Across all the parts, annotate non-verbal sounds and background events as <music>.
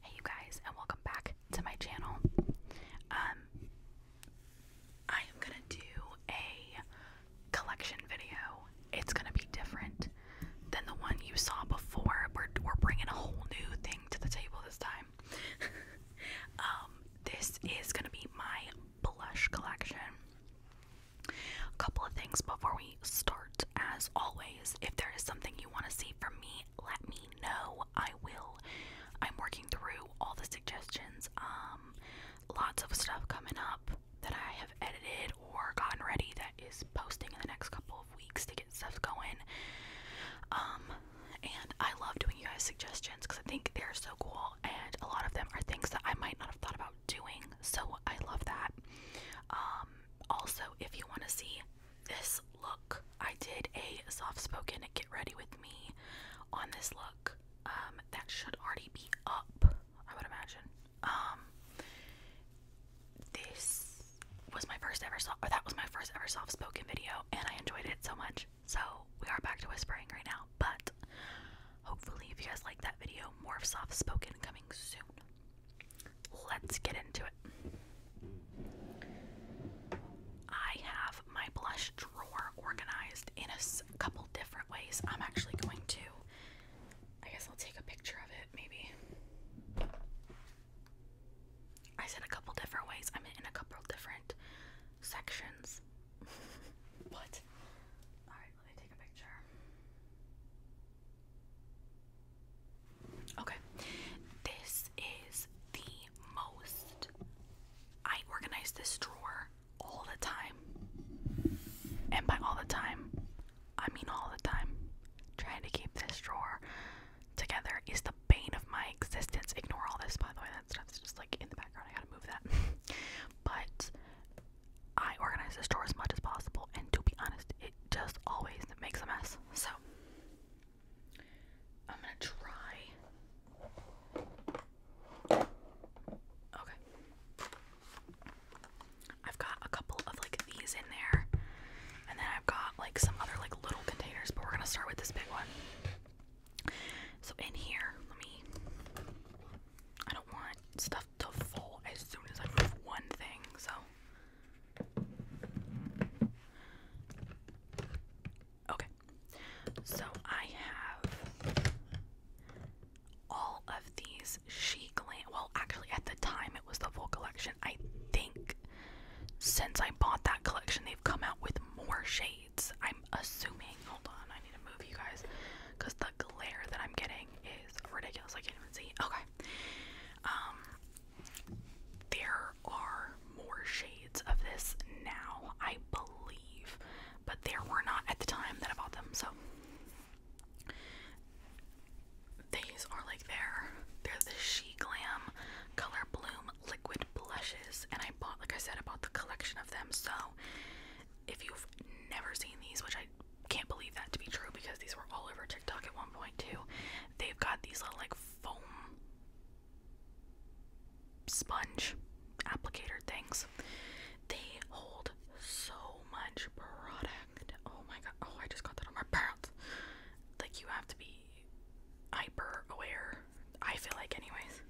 Hey you guys and welcome back to my channel. Um I am going to do a collection video. It's going to be different than the one you saw before. We're we're bringing a whole new thing to the table this time. <laughs> um this is going to be my blush collection. A couple of things before we start as always. If there is something you want to see from me let me know i will i'm working through all the suggestions um lots of stuff coming up that i have edited or gotten ready that is posting in the next couple of weeks to get stuff going um and i love doing you guys suggestions because i think they're so cool and a lot of them are things that i might not have thought about doing so i love that um also if you want to see this look. I did a soft spoken get ready with me on this look. Um, that should already be up, I would imagine. Um, this was my first ever soft, or that was my first ever soft spoken video, and I enjoyed it so much. So we are back to whispering right now, but hopefully, if you guys like that video, more of soft spoken coming soon let's get into it. I have my blush drawer organized in a couple different ways. I'm actually going to, I guess I'll take a picture of it maybe. I said a couple different ways. I'm in a couple different sections. what? <laughs> Alright, let me take a picture. Okay, this is the most. I organize this drawer all the time. And by all the time, I mean all the time. Trying to keep this drawer together is the bane of my existence. Ignore all this, by the way, that stuff's just like in the background. I gotta move that. <laughs> but I organize this drawer as much as possible, and to be honest, it just always makes a mess. So I'm gonna try. Okay. I've got a couple of like these in there, and then I've got like some other like little containers, but we're gonna start with this big one. So, in here, let me. I don't want stuff to fall as soon as I move one thing, so Okay. So I have all of these She Glam. Well, actually, at the time it was the full collection. I think since I bought that collection, they've come out with more shades. I'm assuming. Hold on, I need to move you guys because the glare that I'm getting is ridiculous. I can't even see. Okay. Um, there are more shades of this now, I believe, but there were not at the time that I bought them, so these are like their they're the She Glam Color Bloom Liquid Blushes, and I bought like I said I bought the collection of them, so if you've never seen these, which I can't believe that to be true because these were all over TikTok at one point too. They've got these little like foam sponge applicator things. They hold so much product. Oh my god. Oh, I just got that on my pants. Like you have to be hyper aware. I feel like anyways.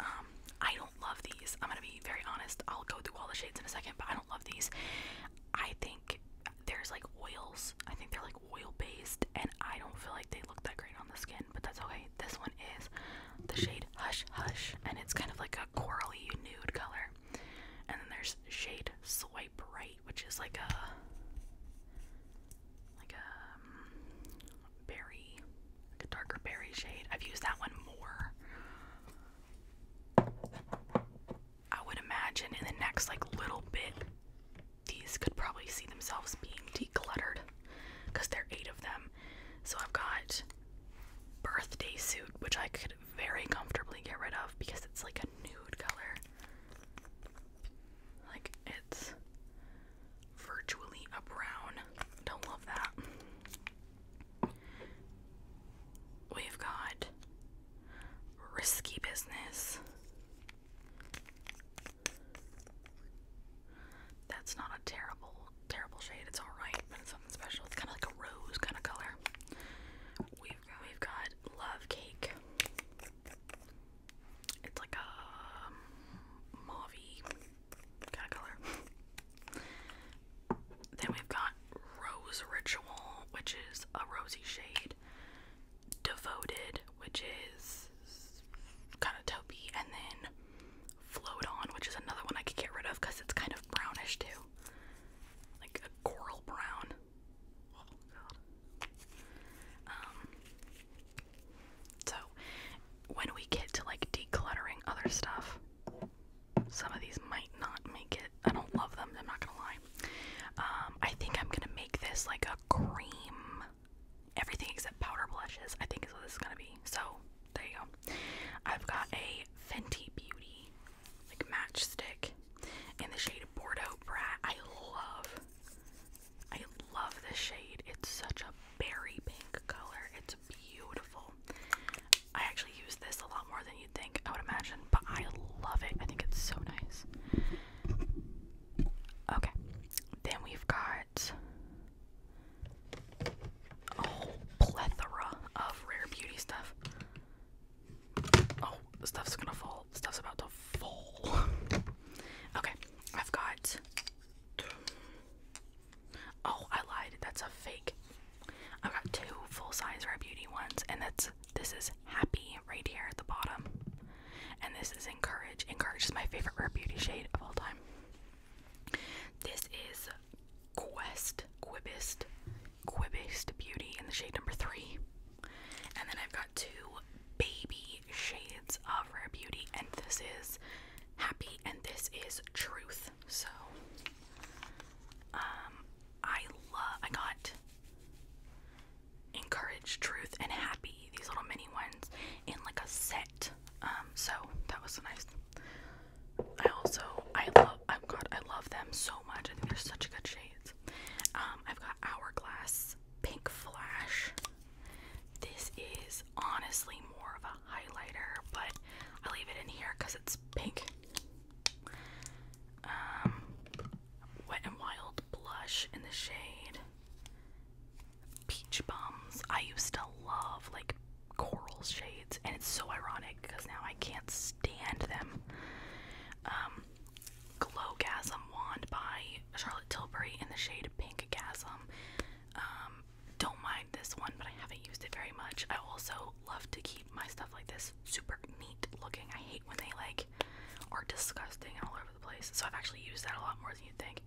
Um I don't love these. I'm going to be very honest. I'll go through all the shades in a second, but I don't love these. I think there's like oils. I think they're like oil based, and I don't feel like they look that great on the skin, but that's okay. This one is the shade Hush Hush, and it's kind of like a corally nude color. And then there's shade Swipe Right, which is like a like a um, berry, like a darker berry shade. I've used that one more. I would imagine in the next like little bit these could probably see themselves being decluttered because there are eight of them. So I've got birthday suit, which I could very comfortably get rid of because it's like a nude color. Like it's virtually a brown. Don't love that. We've got risky business. That's not a terrible, terrible shade. It's alright, but it's something special. It's kind of like a rose kind of color. We've we've got love cake. It's like a um, kind of color. Then we've got Rose Ritual, which is a rosy shade. Devoted, which is kind of taupey, and then Float On, which is another one I could get rid of because it's kind of brownish too, like a coral brown. Oh god. Um. So, when we get to like decluttering other stuff, some of these might not make it. I don't love them, I'm not gonna lie. Um, I think I'm gonna make this like a cream. Everything except powder blushes, I think is what this is gonna be. So, there you go. I've got a Fenty Beauty, like matchstick in the shade Bordeaux Brat. I love, I love this shade. It's such a berry pink color. It's beautiful. I actually use this a lot more than you'd think, I would imagine, but I love it. I think it's so nice. Okay, then we've got a plethora of rare beauty stuff. Oh, stuff's gonna fall. Stuff's about to fall. <laughs> okay, I've got. Oh, I lied. That's a fake I've got two full-size Rare Beauty ones, and that's this is Happy right here at the bottom, and this is Encourage. Encourage is my favorite Rare Beauty shade of all time. This is Quest Quibist Quibist Beauty in the shade number three, and then I've got two baby shades of Rare Beauty, and this is Happy, and this is Truth. So, um, I love, I got Encourage Truth and Happy, these little mini ones, in like a set. Um, so that was nice. I also, I love, oh god, I love them so much. I think they're such good shades. Um, I've got Hourglass Pink Flash. This is honestly more of a highlighter, but I'll leave it in here because it's pink. Um, wet and Wild blush in the shade Peach Bums. I used to love like coral shades, and it's so ironic because now I can't stand them. Um, Glowgasm wand by Charlotte Tilbury in the shade Pink Gasm. Um, don't mind this one, but I haven't used it very much. I also love to keep my stuff like this super neat looking. I hate when they like are disgusting all over the place. So I've actually used that a lot more than you'd think.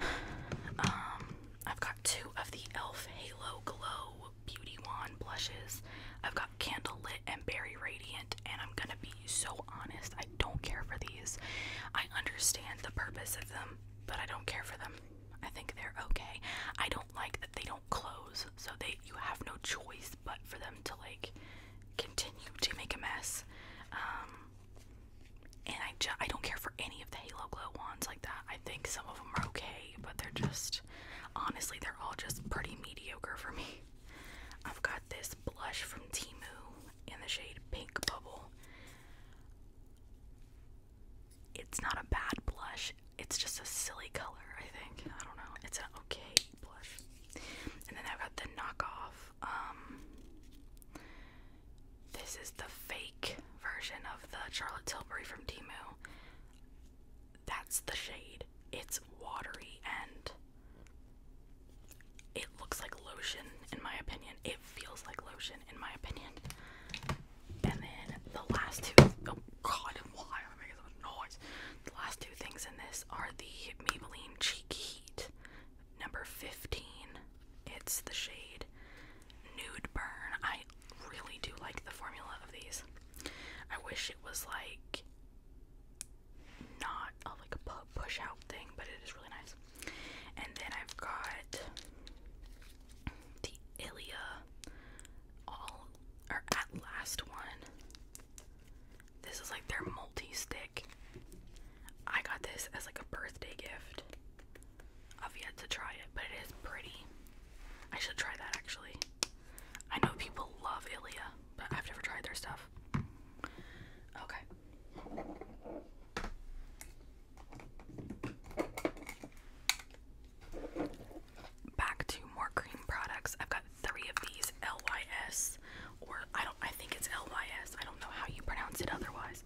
<sighs> Um, I've got two of the e.l.f. Halo Glow Beauty Wand blushes. I've got Candle Lit and Berry Radiant, and I'm gonna be so honest, I don't care for these. I understand the purpose of them, but I don't care for them. I think they're okay. I don't like that they don't close, so they you have no choice but for them to like continue to make a mess. Um, and I just I don't care for any of the Halo glow ones like that. I think some of them are okay, but they're just honestly they're all just pretty mediocre for me. I've got this blush from Timu in the shade Pink Bubble it's not a bad blush. It's just a silly color, I think. I don't know. It's an okay blush. And then I've got the knockoff. Um, this is the fake version of the Charlotte Tilbury from Timu. That's the shade. It's watery and it looks like lotion, in my opinion feels like lotion in my opinion. And then the last two oh god why am I making so much noise? The last two things in this are the Maybelline Cheek Heat number 15. It's the shade Nude Burn. I really do like the formula of these. I wish it was like not a like push out thing, but it is really nice. And then I've got the Ilia, all or at last one. This is like their multi-stick. I got this as like a birthday gift. I've yet to try it, but it is pretty. I should try that actually. I know people love Ilia, but I've never tried their stuff. Okay. Back to more cream products. I've got three of these LYS, or I don't. I think it's LYS. I don't know how you pronounce it otherwise.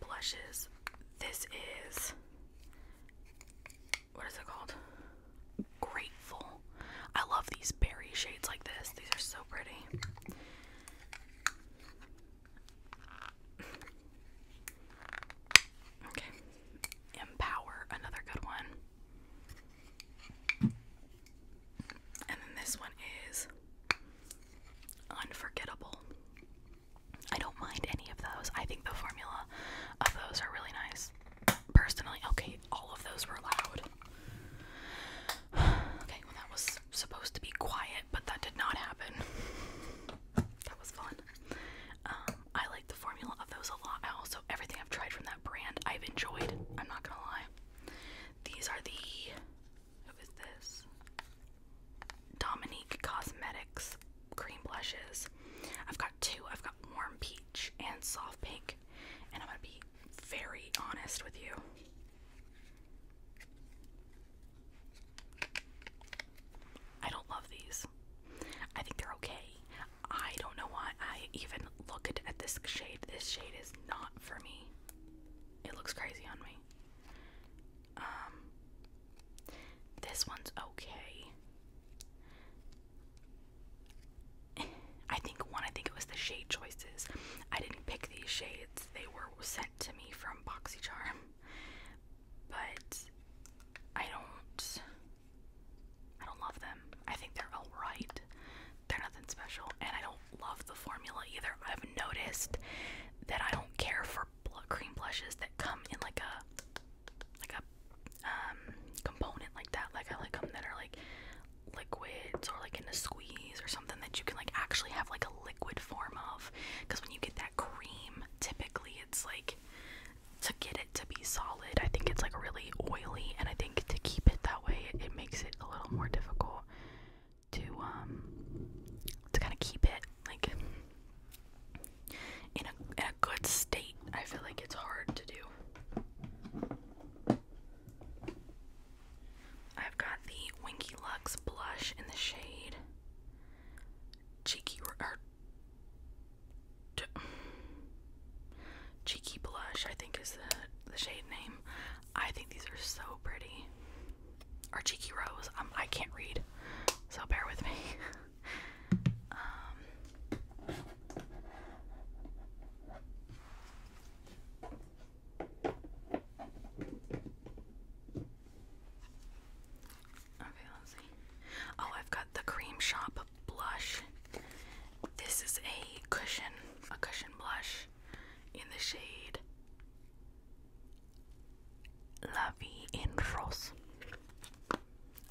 Blushes. This is what is it called? Grateful. I love these berry shades like this. These are so pretty. Okay. Empower, another good one. And then this one is unforgettable. I don't mind any of those. I think the formula of those are really nice. Personally, okay, all of those were loud. <sighs> okay, that was supposed to be quiet, but that did not happen. that was fun. Um, I like the formula of those a lot. I also, everything I've tried from that brand, I've enjoyed. I'm not gonna lie. These are the. Who is this? Dominique Cosmetics cream blushes. I've got two. I've got warm peach and soft pink. And I'm gonna be very honest with you. I don't love these. I think they're okay. I don't know why I even looked at this shade. This shade is not for me. It looks crazy on me. Um this one's okay. I think one, I think it was the shade choices. I didn't pick these shades. They were sent to me from Boxy Charm but I don't I don't love them. I think they're alright. They're nothing special, and I don't love the formula either. I've noticed that I don't care for cream blushes that come in like a like a um, component like that. Like I like them that are like liquids or like in a squeeze or something that you can like actually have like a liquid form of. Because when you get that cream, typically it's like to get it to be solid, I think it's like really oily, and I think to keep it that way, it, makes it a little more difficult to um, to kind of keep it like in a good state. I feel like it's hard to do. I've got the Winky Lux blush in the shade Cheeky or Cheeky Blush, I think is the the shade name. I think these are so pretty. Or Cheeky Rose. Um, I can't read, so bear with me. <laughs> Um, Oh, I've got the Cream Shop blush. This is a cushion, a cushion blush in the shade La Vie en Rose.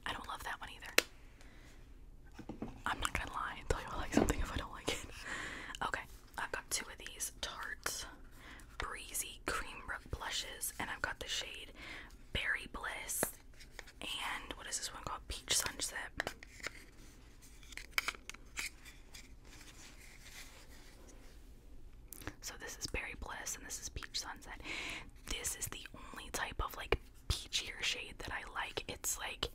I don't love that one either. I'm not gonna lie and tell you I like something if I don't like it. <laughs> Okay, I've got two of these Tarts Breezy Cream Blushes, and I've got the shade Berry Bliss, and what is this one called? Peach Sunset. So this is Berry Bliss, and this is Peach Sunset. This is the only type of like peachier shade that I like. It's like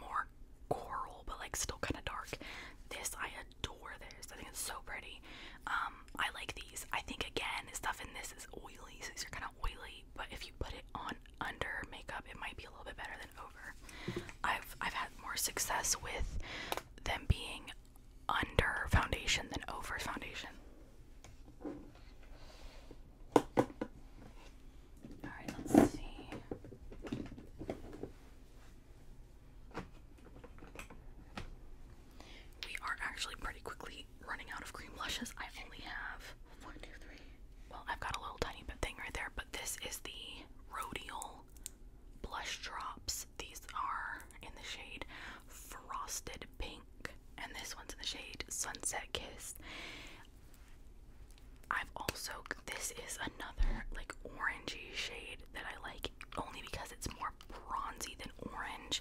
more coral, but like still kind of dark. This I adore this. I think it's so pretty. Um, I like these. I think again, stuff in this is oily. So these are kind of oily, but if you put it on under makeup, it might be a little bit better than over. I've I've had more success with them being under foundation than over foundation. All right, let's see. We are actually pretty quickly running out of cream blushes. I only have one, two, three. Well, I've got a little tiny bit thing right there, but this is the Rodial blush drops. These are in the shade Frosted Pink, and this one's in the shade Sunset Kiss. I've also this is another like orangey shade that I like only because it's more bronzy than orange.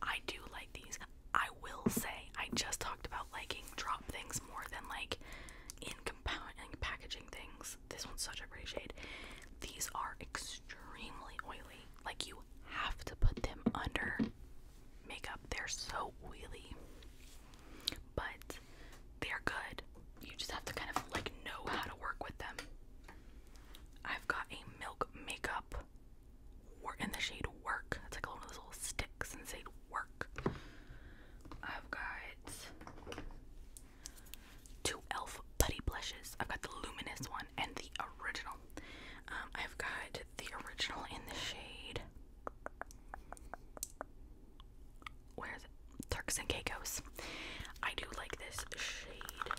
I do like these. I will say I just talked about liking drop things more than like in compounding packaging things. This one's such a pretty shade. These are extremely oily. Like you have to put them under makeup. They're so oily but they're good. You just have to kind of like know how to work with them. I've got a milk makeup work in the shade work. It's like one of those little sticks and say work. I've got two elf putty blushes. I've got the luminous one and the original. Um, I've got the original in the shade where is it? Turks and Caicos. I do like this shade.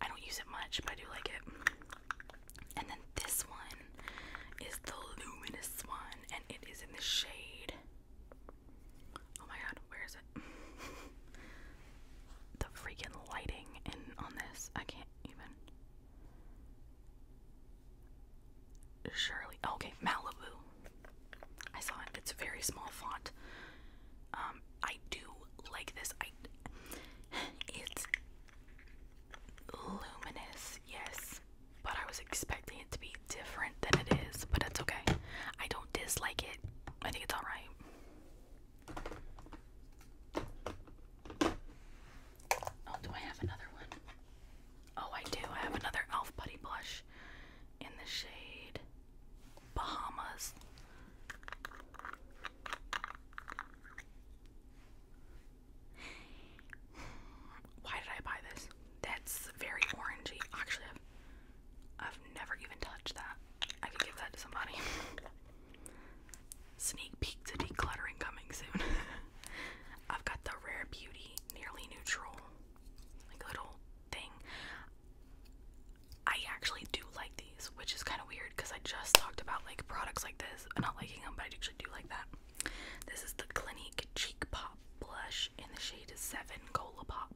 I don't use it much, but I do like it. And then this one is the luminous one, and it is in the shade. Oh my god, where is it? <laughs> the freaking lighting in on this. I can't even. Surely, Okay, Malibu. I saw it. It's a very small font. Um, I do like this. I. It's luminous, yes, but I was expecting it to be different than it is. But that's okay. I don't dislike it. I think it's all right. Oh, do I have another one? Oh, I do. I have another Elf Buddy blush in the shade Bahamas. Why did I buy this? That's very orangey. Actually, I've, I've never even touched that. I could give that to somebody. <laughs> Sneak peek to decluttering coming soon. <laughs> I've got the Rare Beauty Nearly Neutral, like little thing. I actually do like these, which is kind of weird because I just talked about like products like this, I'm not liking them, but I actually do like that. This is the Clinique Cheek Pop Blush in the shade 7 Cola Pop.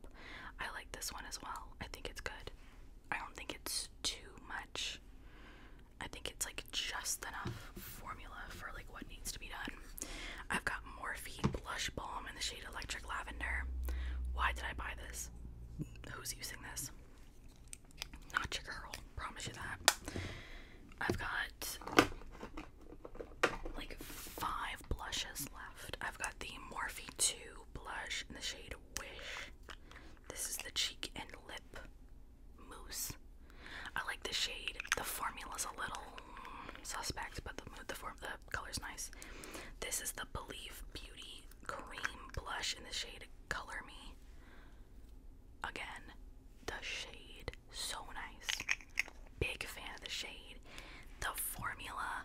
I like this one as well. I think it's good. I don't think it's too much. I think it's like just enough formula for like what needs to be done. I've got Morphe Blush Balm in the shade Electric Lavender. Why did I buy this? Who's using this? Not your girl, promise you that. I've got like five blushes left. I've got the Morphe 2 blush in the shade Wish. This is the cheek and lip mousse. I like the shade. The formula's a little suspect, but the the form the color's nice. This is the Belief Beauty cream blush in the shade Color Me. Again, the shade so nice. Big fan of the shade. The formula.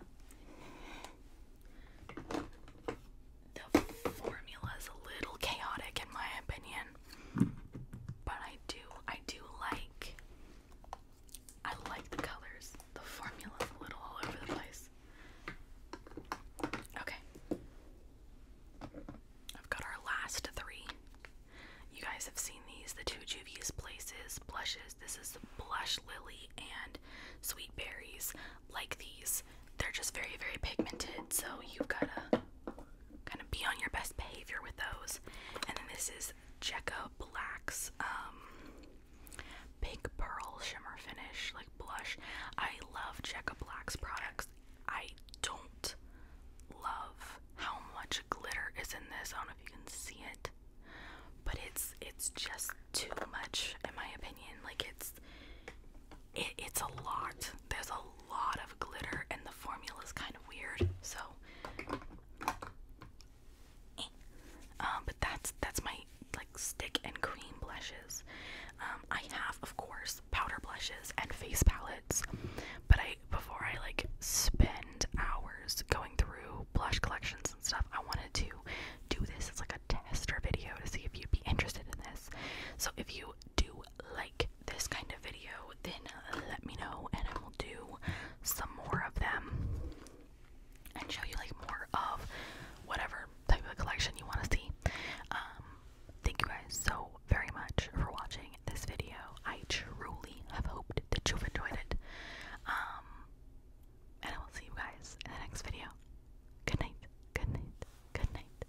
The formula is a little chaotic in my opinion. But I do, I do like, I like the colors. The formula's a little all over the place. Okay. I've got our last three. You guys have seen these, the two juviest Places blushes. This is Blush Lily and Sweet Berries. Like these, they're just very, very pigmented. So you've got to kind of be on your best behavior with those. And then this is Jekka Black's um, Pink Pearl Shimmer Finish, like blush. I love Jekka Black's products. I don't love how much glitter is in this. I don't know if you can see it, but it's it's just too much in my opinion. Like it's it, it's a lot. There's a lot of glitter, and the formula is kind of weird. So, eh. um, but that's that's my like stick and cream blushes. Um, I have, of course, powder blushes and face palettes, but I before I like spend hours going through blush collections and stuff, I wanted to do this as like a tester video to see if you'd be interested in this. So if you do like this kind of video, then uh, let me know and I will do some more of them and show you like more of whatever type of collection you want to see. Um, thank you guys so very much for watching this video. I truly have hoped that you've enjoyed it. Um, and I will see you guys in the next video. Good night, good night, good night.